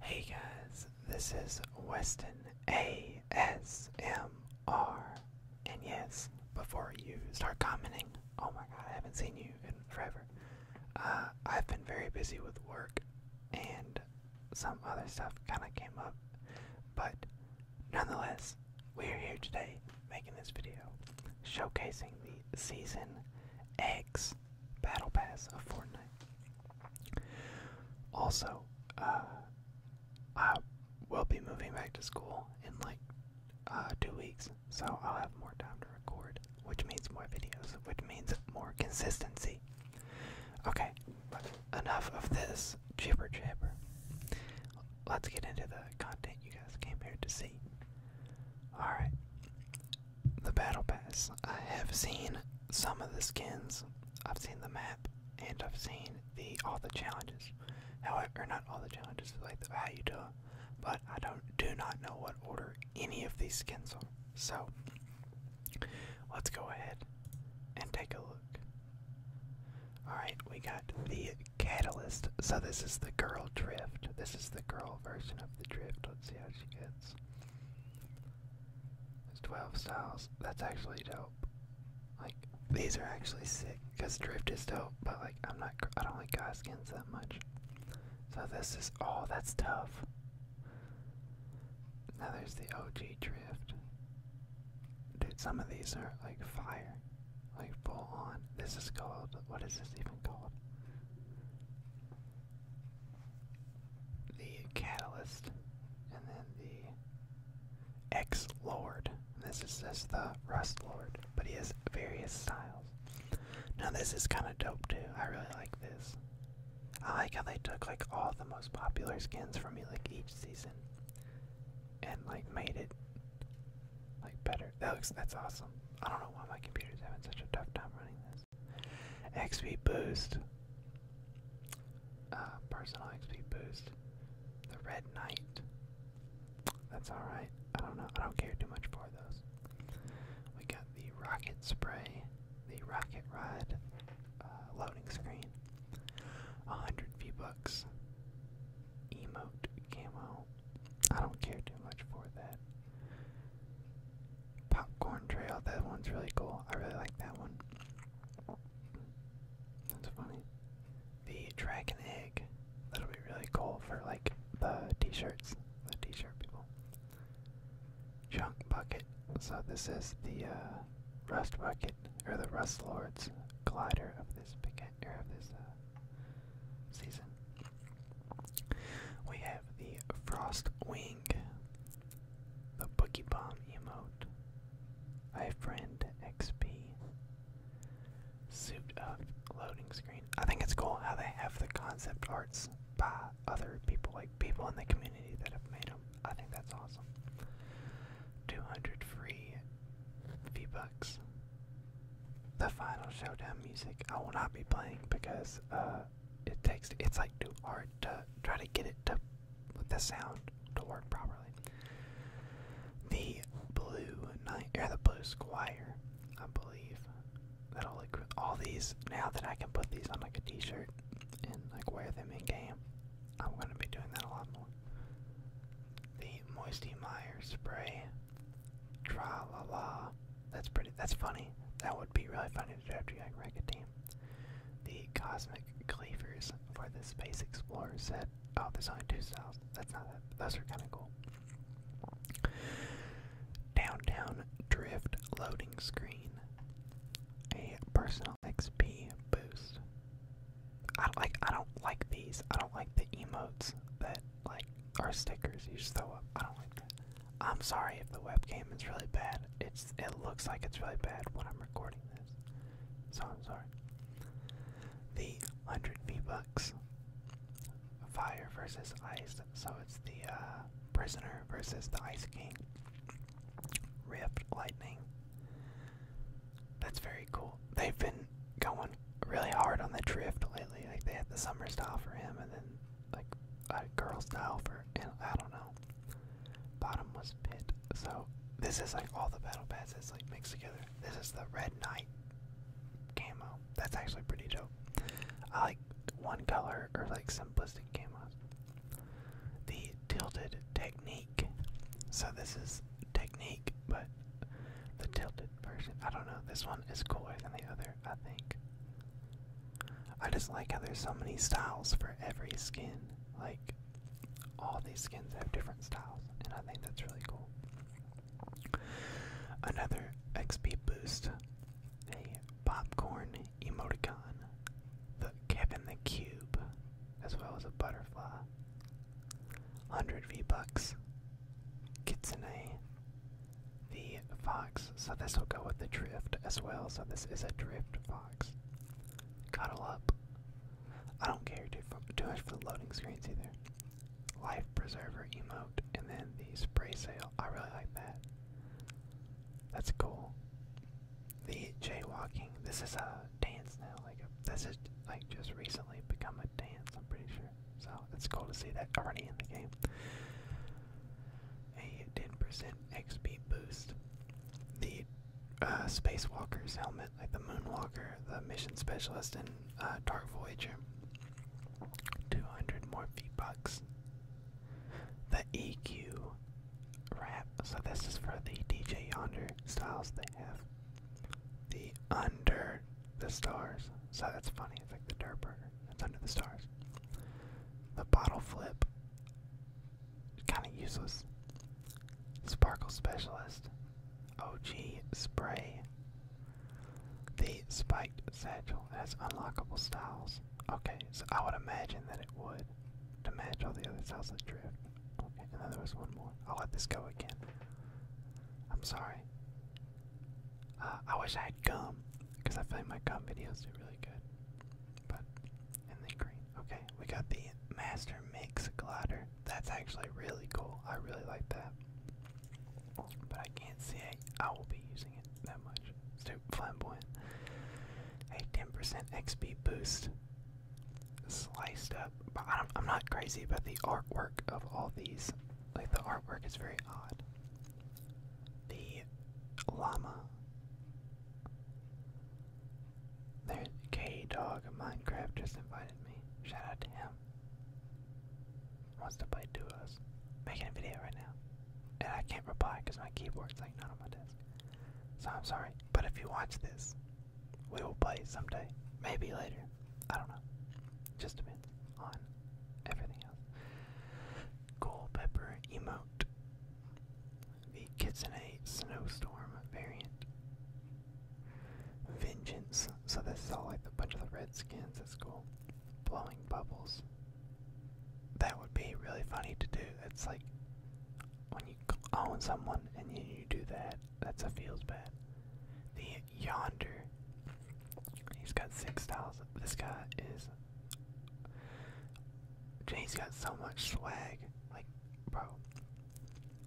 Hey guys, this is Weston ASMR. And yes, before you start commenting, oh my god, I haven't seen you in forever. Uh, I've been very busy with work and some other stuff kind of came up, but nonetheless, we are here today making this video showcasing the Season X Battle Pass of Fortnite. Also, uh, I will be moving back to school in like uh, two weeks, so I'll have more time to record, which means more videos, which means more consistency. Okay, enough of this jibber jabber. Let's get into the content you guys came here to see. Alright, the battle pass. I have seen some of the skins. I've seen the map and I've seen the all the challenges. However, not all the challenges, like the value to them, but I don't do not know what order any of these skins are. So let's go ahead and take a look. Alright, we got the catalyst. So this is the girl drift. This is the girl version of the drift. Let's see how she gets. There's 12 styles. That's actually dope. Like, these are actually sick because Drift is dope, but like, I'm not, I don't like guy skins that much. So this is, all oh, that's tough. Now there's the OG Drift. Dude, some of these are like fire. Like, full on. This is called, what is this even called? the Catalyst, and then the X Lord. This is just the Rust Lord, but he has various styles. Now this is kind of dope too. I really like this. I like how they took like all the most popular skins from me like each season, and like made it like better. That looks that's awesome. I don't know why my computer's having such a tough time running this. XP boost. Uh, personal XP boost. The Red Knight. That's alright. I don't know. I don't care too much for those. We got the Rocket Spray. The Rocket Ride. Uh, loading screen. 100 V-Bucks. Emote Camo. I don't care too much for that. Popcorn Trail, that one's really cool. I really like that one. That's funny. The Dragon Egg, that'll be really cool for like the t shirts, the t shirt people. Junk Bucket, so this is the uh, Rust Bucket, or the Rust Lord's glider of this, of this uh, season. We have the Frost Wing, the Boogie Bomb emote, I Friend XP, Suit Up loading screen. I think it's cool how they have the concept arts by other people, like people in the community that have made them. I think that's awesome. 200 free V-Bucks. The Final Showdown music I will not be playing because uh, it takes. It's like too hard to try to get it to the sound to work properly. The blue knight or the blue squire, I believe. That'll look all these now that I can put these on like a t-shirt and like wear them in game. I'm gonna be doing that a lot more. The Moisty Meyer spray. Tra la la. That's pretty. That's funny. That would be really funny to Do draft your Racket team. The Cosmic Cleavers for the Space Explorer set. Oh, there's only two styles. That's not that. Those are kind of cool. Downtown Drift Loading Screen. A personal XP boost. I don't like. I don't like these. I don't like the emotes that like or stickers you just throw up. I don't like that. I'm sorry if the webcam is really bad. It's it looks like it's really bad when I'm recording this. So I'm sorry. The hundred V bucks. Fire versus ice. So it's the uh, prisoner versus the ice king. Rift lightning. That's very cool. They've been going really hard on the drift lately. Like they had the summer style for him, and then like a girl style for and I don't know. Bottomless pit. So this is like all the battle pads that's like mixed together. This is the red knight camo. That's actually pretty dope. I like one color or like simplistic camos. The tilted technique. So this is technique, but the tilted version. I don't know. This one is cooler than the other, I think. I just like how there's so many styles for every skin. Like, all these skins have different styles, and I think that's really cool. Another XP boost a popcorn emoticon, the Kevin the Cube, as well as a butterfly. 100 V bucks, Kitsune, the fox. So this will go with the drift as well. So this is a drift fox. Cuddle up. I don't care too, much for the loading screens either. Life preserver emote, and then the spray sail. I really like that. That's cool. The jaywalking. This is a dance now. Like this is like just recently become a dance. I'm pretty sure. So it's cool to see that already in the game a 10% XP boost. The uh, Spacewalker's helmet, like the Moonwalker, the Mission Specialist, in uh, Dark Voyager, 200 more V-Bucks. The EQ wrap, so this is for the DJ Yonder styles they have. The Under the Stars, so that's funny, it's like the Dirt Burger, that's Under the Stars. The bottle flip. Kind of useless. Sparkle Specialist. OG Spray. The Spiked Satchel has unlockable styles. Okay, so I would imagine that it would to match all the other styles that drift. Okay, and then there was one more. I'll let this go again. I'm sorry. Uh, I wish I had gum, because I find my gum videos do really good. But, and then green. Okay, we got the Master Mix Glider. That's actually really cool. I really like that. But I can't see I will be using it that much. It's too flamboyant. A 10% XP boost. Sliced up. But I'm not crazy about the artwork of all these. Like, the artwork is very odd the llama. There's K Dog Minecraft just invited me. Shout out to him. Wants to play duos. Making a video right now. And I can't reply because my keyboard's like not on my desk. So I'm sorry. But if you watch this, we will play someday. Maybe later. I don't know. Just depends on everything else. Pepper Emote, the Kitsune Snowstorm variant, Vengeance, so this is all like a bunch of the Redskins, that's cool. Blowing Bubbles, that would be really funny to do. It's like when you own someone and you, you do that, that's a feels bad. The Yonder, he's got six styles. This guy is Jay's got so much swag. Like, bro,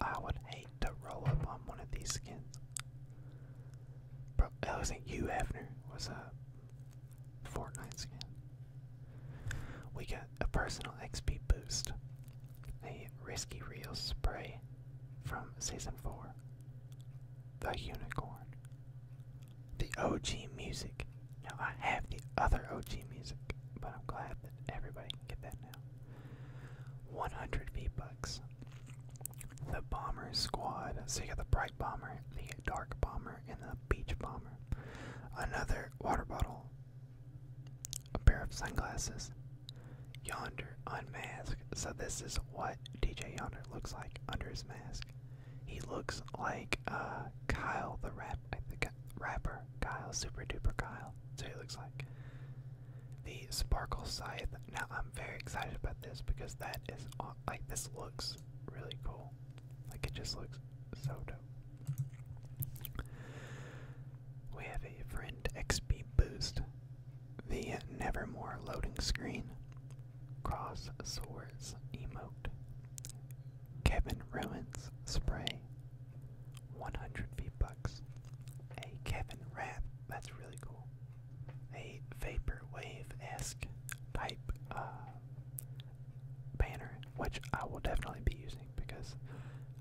I would hate to roll up on one of these skins. Bro, that wasn't you, Hefner. Was a Fortnite skin. We got a personal XP boost, a risky reel spray from season four, the unicorn, the OG music. Now I have the other OG music, but I'm glad that everybody can get that now. 100 V-Bucks. The Bomber Squad. So you got the Bright Bomber, the Dark Bomber, and the Beach Bomber. Another water bottle. A pair of sunglasses. Yonder unmasked. So this is what DJ Yonder looks like under his mask. He looks like uh, Kyle the rap, rapper Kyle, super duper Kyle. So he looks like the Sparkle Scythe. Now I'm very excited about this because that is like this looks really cool. Like it just looks so dope. We have a friend XP boost. The Nevermore loading screen. Cross Swords Emote. Kevin Ruins Spray. 100 V-Bucks. A Kevin rap That's really cool. A wave esque type uh, banner, which I will definitely be using because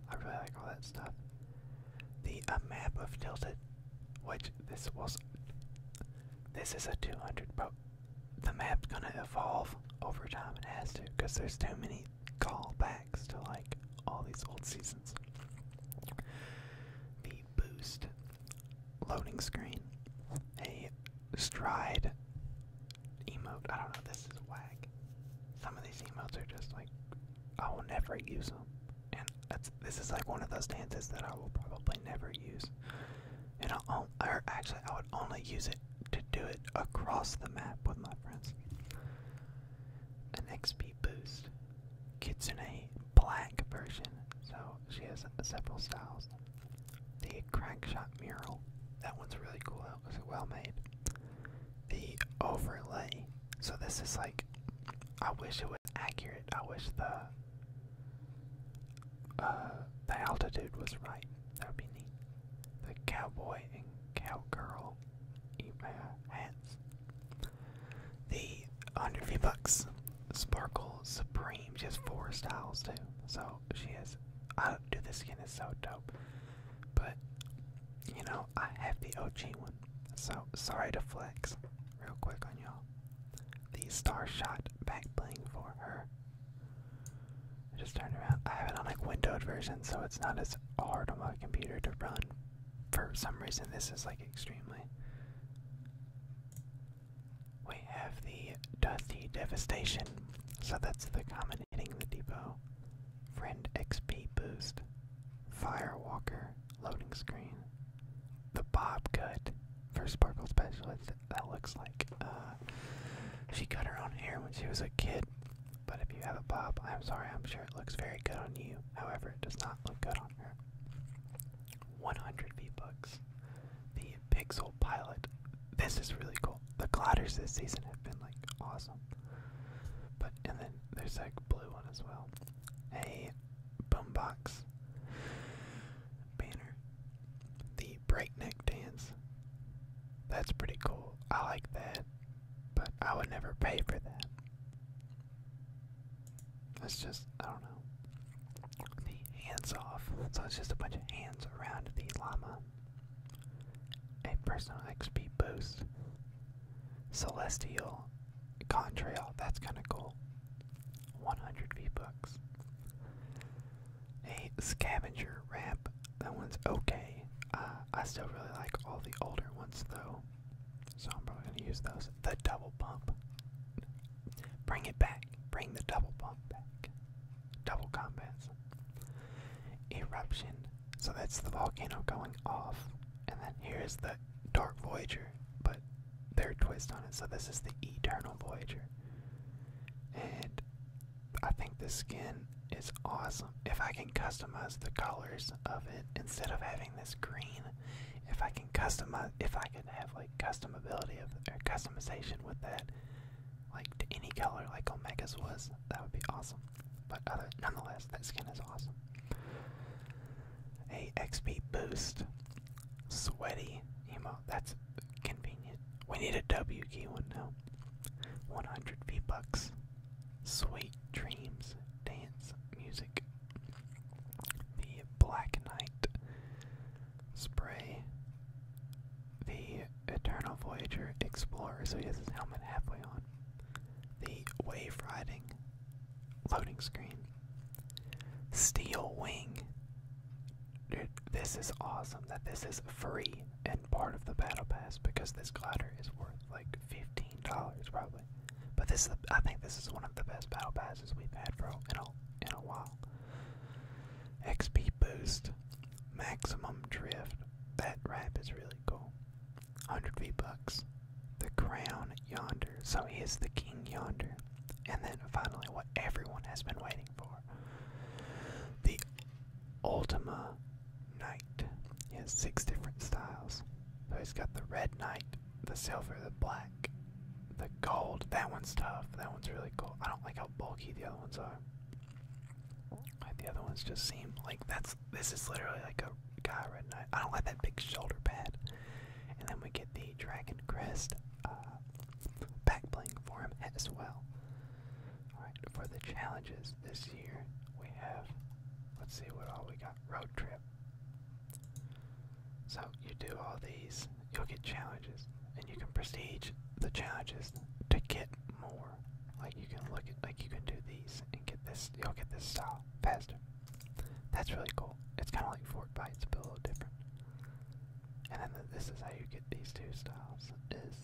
I really like all that stuff. The A uh, Map of Tilted which this was. This is a 200, but the map's gonna evolve over time. It has to, because there's too many callbacks to like all these old seasons. The boost loading screen, a stride emote. I don't know, this is whack. Some of these emotes are just like, I will never use them. And that's. This is like one of those dances that I will probably never use. And I'll, actually, I would only use it to do it across the map with my friends. An XP boost. Kitsune black version. So she has several styles. The crackshot mural. That one's really cool. That was well made. The overlay. So this is like, I wish it was accurate. I wish the uh, the altitude was right. That would be neat. The cowboy and cowgirl email hats. The 100 bucks Sparkle Supreme. She has four styles too. So she has. I don't, do this skin is so dope. But, you know, I have the OG one. So sorry to flex real quick on y'all the star shot back bling for her. I just turned around. I have it on like windowed version, so it's not as hard on my computer to run. For some reason, this is like extremely. We have the Dusty Devastation, so that's the common hitting the depot. Friend XP boost, Firewalker loading screen, the Bob Cut, for Sparkle Specialist, that looks like. Uh, she cut her own hair when she was a kid, but if you have a bob, I'm sorry, I'm sure it looks very good on you. However, it does not look good on her. 100 V-Bucks. The Pixel Pilot. This is really cool. The Clotters this season have been, like, awesome. But, and then there's, like, blue one as well. A boombox banner. The breakneck dance. That's pretty cool. I like that, but I would never pay for that. It's just, I don't know. The hands off. So it's just a bunch of hands around the llama. A personal XP boost. Celestial contrail. That's kind of cool. 100 v books. A scavenger ramp. That one's okay. Uh, I still really like all the older ones though. So I'm probably going to use those. The double pump. Bring it back. Bring the double pump back. Double combats. Eruption. So that's the volcano going off. And then here's the Dark Voyager, but their twist on it. So this is the Eternal Voyager. And I think the skin is awesome. If I can customize the colors of it instead of having this green, if I can customize, if I can have like customability of customization with that, like any color, like Omega's was, that would be awesome. But other, nonetheless, that skin is awesome. A XP boost Sweaty emote. That's convenient. We need a W key one now. 100 V bucks. Sweet dreams. Dance music. The Black Knight. Spray. The Eternal Voyager Explorer. So he has his helmet halfway on. The Wave Riding. Loading screen. Steel Wing. Dude, this is awesome that this is free and part of the battle pass because this glider is worth like fifteen dollars probably. But this, I think, this is one of the best battle passes we've had for in a in a while. XP boost, maximum drift. That wrap is really cool. Hundred V bucks. The crown yonder. So he is the king yonder. And then finally, what everyone has been waiting for the Ultima Knight. He six different styles. So he's got the red knight, the silver, the black, the gold. That one's tough. That one's really cool. I don't like how bulky the other ones are. the other ones just seem like that's this is literally like a guy red knight. I don't like that big shoulder pad. And then we get the dragon crest uh, back bling for him as well. Alright, for the challenges this year, we have, let's see what all we got, road trip. So you do all these, you'll get challenges, and you can prestige the challenges to get more. Like you can look at, like you can do these and get this, you'll get this style faster. That's really cool. It's kind of like Fort Bites, but a little different. And then this is how you get these two styles: is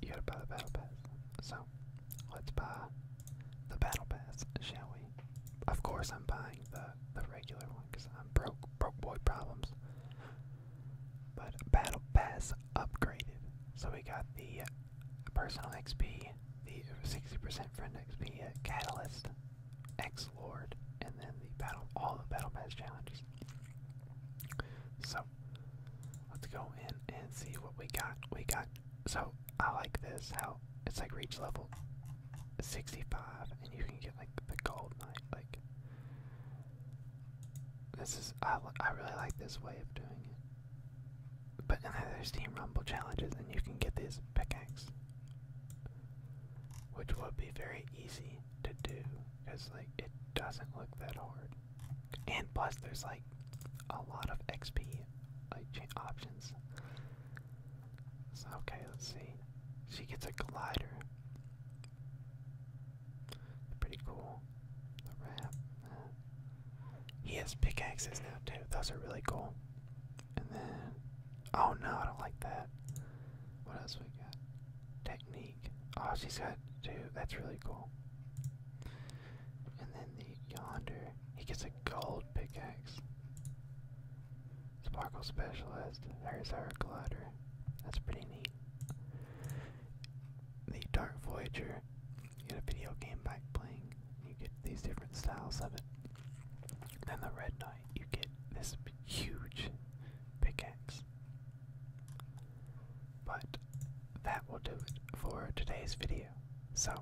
you gotta buy the battle pass. So let's buy the battle pass, shall we? Of course, I'm buying the the regular one because I'm broke, broke boy problems. But battle pass upgraded, so we got the personal XP, the 60% friend XP, uh, catalyst, X Lord, and then the battle, all the battle pass challenges. So let's go in and see what we got. We got so I like this how it's like reach level 65, and you can get like the gold knight. Like this is I I really like this way of doing it. But and then there's Team Rumble challenges, and you can get these pickaxe. Which would be very easy to do, because like it doesn't look that hard. And plus there's like a lot of XP like options. So okay, let's see. She gets a glider. Pretty cool. The wrap. Uh, he has pickaxes now too. Those are really cool. And then, oh no, I don't like that. What else we got? Technique. Oh, she's got two. That's really cool. And then the yonder, he gets a gold pickaxe. Sparkle specialist. There's our glider. That's pretty neat. The Dark Voyager. You a video game back playing you get these different styles of it. and the Red Knight, you get this huge pickaxe. But that will do it for today's video. So,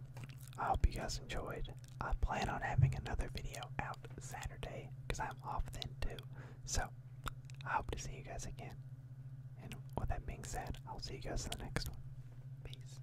I hope you guys enjoyed. I plan on having another video out Saturday because I'm off then too. So, I hope to see you guys again. And with that being said, I'll see you guys in the next one. Peace.